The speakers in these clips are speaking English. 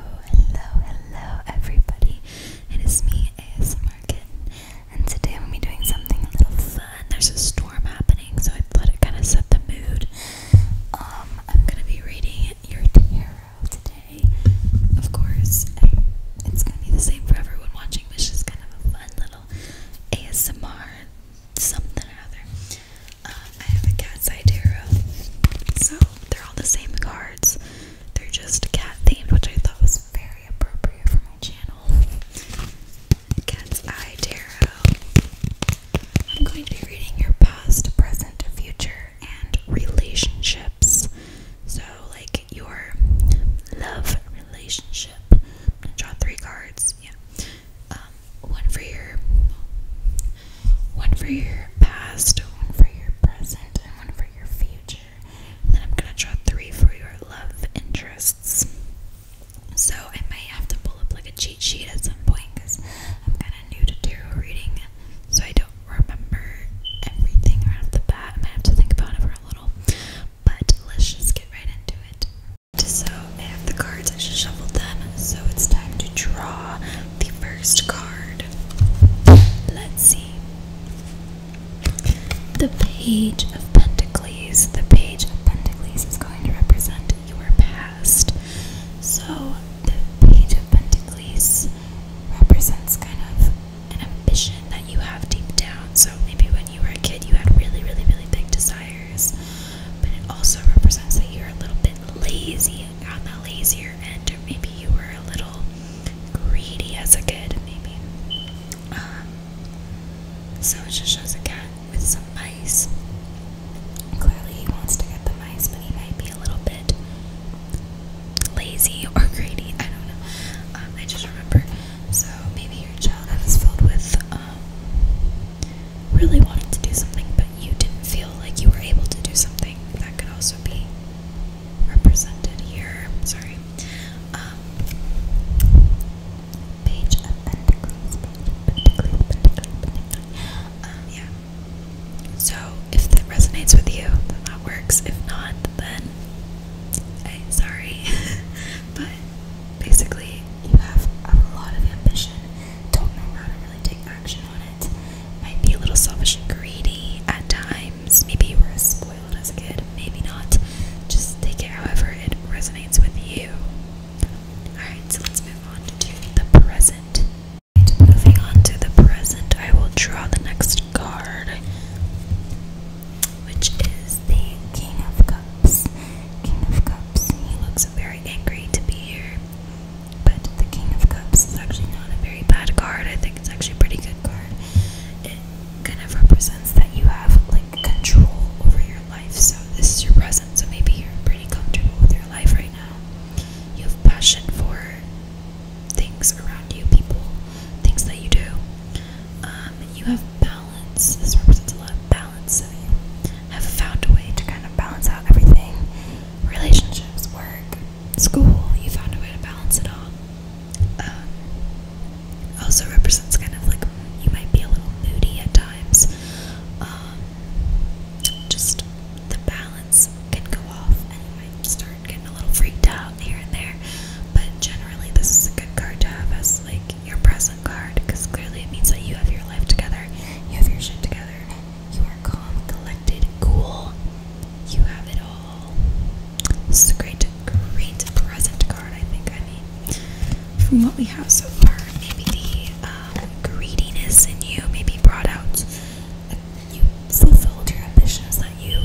Hello, hello everybody. It is me, ASMR Kitten, and today I'm going to be doing something a little fun. There's a storm happening, so I thought it kind of set the mood. Um, I'm going to be reading your tarot today, of course. It's going to be the same for everyone watching, which is kind of a fun little ASMR something or other. Um, I have a cat's eye tarot, so they're all the same cards. They're just cat themed, which I thought was very appropriate for my channel. Cat's Eye Tarot. I'm going to be reading your past, present, future, and relationships. So, like your love relationship. gonna draw three cards. Yeah. Um, one for your one for your past, one for your present, and one for your future. then I'm gonna draw three for your love interests. So I may have to pull up like a cheat sheet at some point because I'm kind of new to tarot reading, so I don't remember everything right off the bat. I might have to think about it for a little, but let's just get right into it. So I have the cards, I just shuffled them, so it's time to draw the first card. Let's see. The Page of Pentacles. The Page of Pentacles is going to represent your past. So, the Page of Pentacles represents kind of an ambition that you have deep down. So, maybe when you were a kid, you had really, really, really big desires. But it also represents that you're a little bit lazy on the lazier end, or maybe you were a little greedy as a kid, maybe. Um, so it just shows a cat with some mice. Clearly, he wants to get the mice, but he might be a little bit lazy or greedy. I don't know. Um, I just remember. So maybe your childhood was filled with um, really wanting to do something, but you didn't feel like you were able to do something. That could also be represented here. Sorry. Um, page of um, yeah. So if that resonates with you, that works. If not, then hey, sorry. but basically, you have a lot of ambition. Don't know how to really take action on it. Might be a little selfish and greedy at times. Maybe you were spoiled as a kid, maybe not. Just take it however it resonates with you. Alright, so let's move on to the present. Moving on to the present, I will draw the next card, which is the King of Cups. King of Cups, he looks very angry to be here. But the King of Cups is actually not a very bad card. I think it's actually a pretty good card. It kind of represents that you have like control over your life. So this is your present. So maybe you're pretty comfortable with your life right now. You have passion for things around you, people, things that you do. Um, you have balance. This represents a lot of balance. So you have found a way to kind of balance out everything relationships, work, school, you found a way to balance it all. Um, also represents kind of like you might be a little moody at times. Um, just the balance can go off and you might start getting a little freaked out here and there. But generally, this is a good card to have as like your present card because clearly it means that you have your life together, you have your shit together, you are calm, collected, cool. You have it all. This is a great, great present card, I think. I mean, from what we have so far, maybe the um, greediness in you maybe brought out, uh, you fulfilled your ambitions that you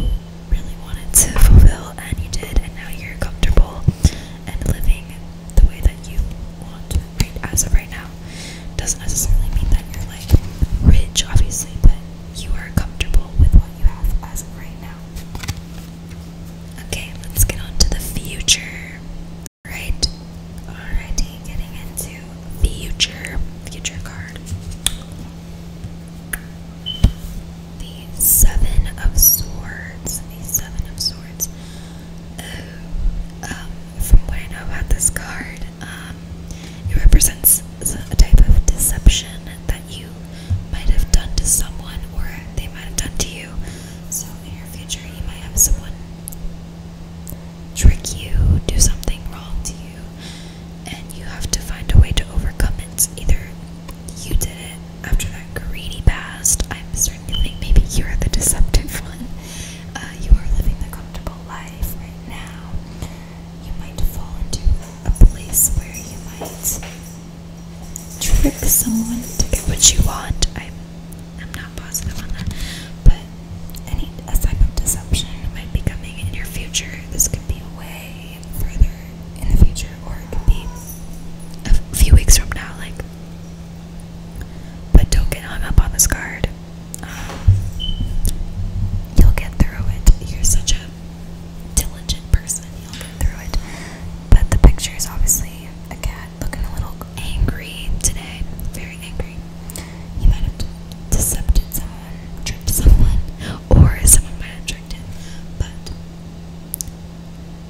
really wanted to fulfill, and you did, and now you're comfortable and living the way that you want right as of right now. Doesn't necessarily mean that you're like rich, obviously, but you are comfortable with what you have as of right now. Okay, let's get on to the future. Right? Alrighty, getting into future. Future card. The Seven of Swords. The Seven of Swords. Oh, um, from what I know about this card, um, it represents a type of deception that you might have done to someone or they might have done to you. So in your future, you might have someone trick you, do something wrong to you, and you have to find a way to overcome it. Either you did it after that greedy past. I'm starting to think maybe you're the deceptive one. Uh, you are living the comfortable life right now you might fall into a place where you might trick someone to get what you want. I'm, I'm not positive on that, but any a type of deception might be coming in your future. This could be a way further in the future, or it could be a few weeks from now. Like, but don't get hung up on this card you'll get through it. You're such a diligent person. You'll get through it. But the picture is obviously a cat looking a little angry today. Very angry. You might have decepted someone, tricked someone, or someone might have tricked him. But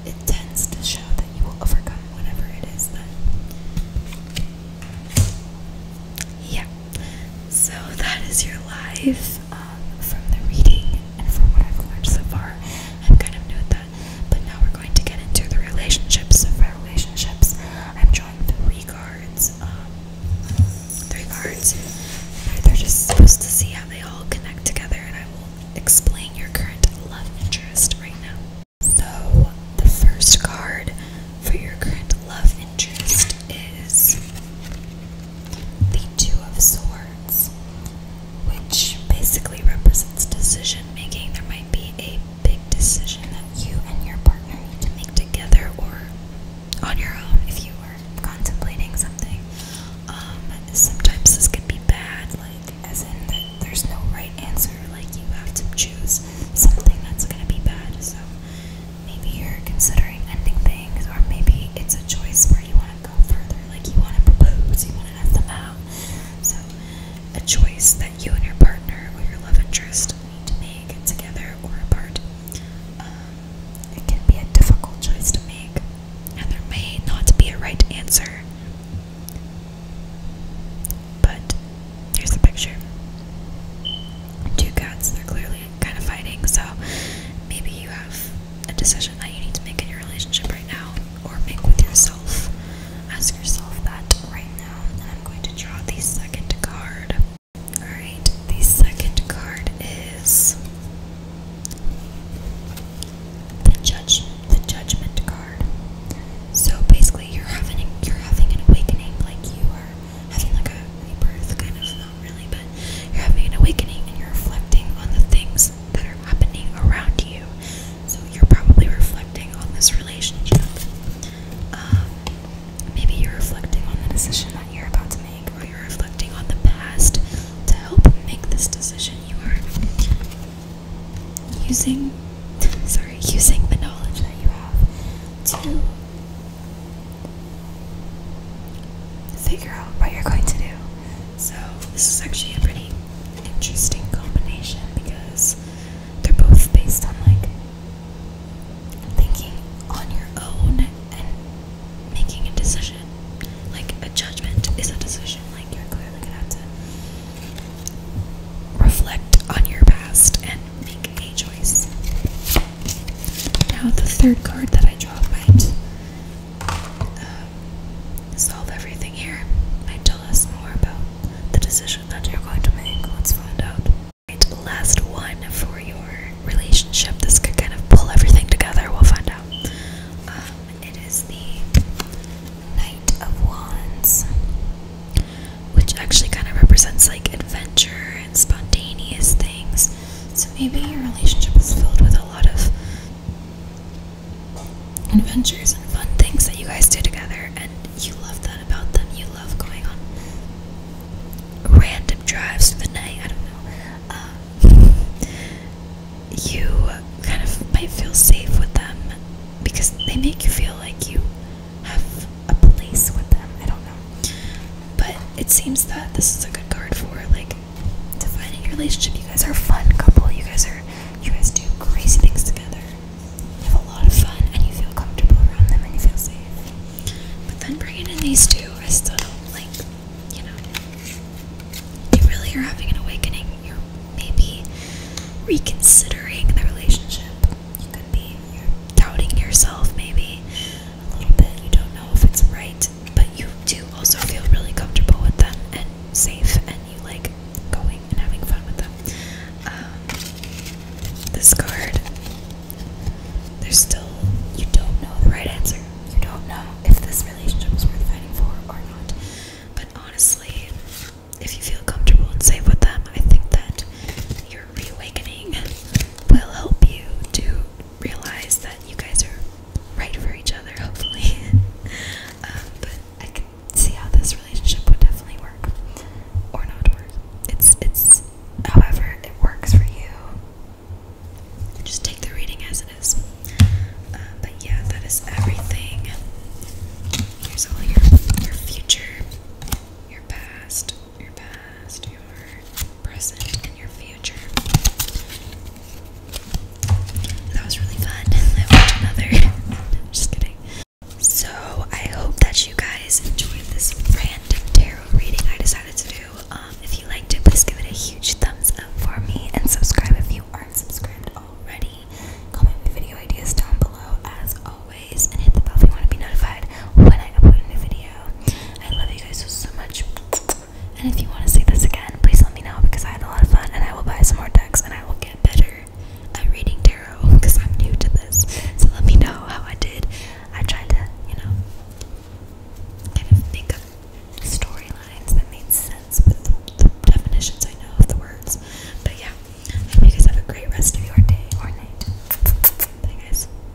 it tends to show that you will overcome whatever it is that. Yeah, so that is your life um, from the reading and from what I've learned so far. I'm kind of new at that. But now we're going to get into the relationships. of our relationships, I'm drawing three cards. Um, three cards. And they're just supposed to see how they all connect together and I will explain your current love interest right now. So the first card for your current love interest is the Two of Swords, which basically represents decision making. There might be a big decision that you and your partner need to make together or on your own if you are contemplating something. Um, sometimes this can be bad, like as in that there's no right answer, like you have to choose something that's gonna be bad. So maybe you're considering ending things, or maybe it's a choice where you want to go further, like you want to propose, you want to have them out. So, a choice that you and your partner or your love interest need to make together or apart. Um, it can be a difficult choice to make, and there may not be a right answer. But here's the picture. Two cats, they're clearly kind of fighting. So maybe you have a decision that you need to make in your relationship right now, or make with yourself. Ask yourself that right now. And I'm going to draw the second card. Alright, the second card is the judge the judgment card. So basically you're having you're having an awakening, like you are having like a rebirth, kind of, not really, but you're having an awakening and you're reflecting on the things that are happening around you. So you're probably reflecting on this relationship. Um, maybe you're reflecting on the decision that you're about to make, or you're reflecting on the past to help make this decision. You are using, sorry, using the knowledge that you have to figure out what you're going to do. So, this is actually a pretty interesting combination because they're both based on like thinking on your own and making a decision. Like, a judgment is a decision. Like, you're clearly gonna have to reflect on your past and make a choice. Now, the third card that I draw might um, solve everything here. Might tell us more about the decision that you're going to make. Let's find out. Right, last one for your relationship. This could kind of pull everything together. We'll find out. Um, it is the Knight of Wands, which actually kind of represents like adventure and spontaneous things. So maybe your relationship is filled with a lot of adventures and fun things that you guys do together, and you love that about them. You love going on random drives for the night. I don't know. Um, you kind of might feel safe with them because they make you feel like you have a place with them. I don't know. But it seems that this is a good card for like defining your relationship. You guys are a fun couple. You guys are you guys do crazy things together. You have a lot of fun and you feel comfortable around them and you feel safe. But then bringing in these two, I still don't like, you know, you really are having an awakening. You're maybe reconsidering the relationship. You could be, you're doubting yourself maybe a little bit. You don't know if it's right, but you do also feel really comfortable with them and safe, and you like going and having fun with them. Um, this card, there's still, you don't know the right answer. You don't know if this relationship is worth fighting for or not. But honestly, if you feel comfortable and safe with them, I think that you're your reawakening will help you to realize that you guys are right for each other, hopefully. Um, but I can see how this relationship would definitely work or not work. It's it's however it works for you. Just take the reading as it is. Um, but yeah, that is everything. Here's all your your future, your past, your past, your present, and your future. That was really fun. I watched another. i just kidding. So I hope that you guys enjoyed this random tarot reading I decided to do. Um, if you liked it, please give it a huge thumbs up for me and subscribe if you aren't subscribed already. Comment video ideas down below as always and hit the bell if you want to be notified when I upload a new video. I love you guys so, so much. And if you want to see this again, please let me know because I had a lot of fun and I will buy some more decks and I will get better at reading tarot because I'm new to this. So let me know how I did. I tried to, you know, kind of make up storylines that made sense with the, definitions I know of the words. But yeah, hope you guys have a great rest of your day or night. Bye, guys.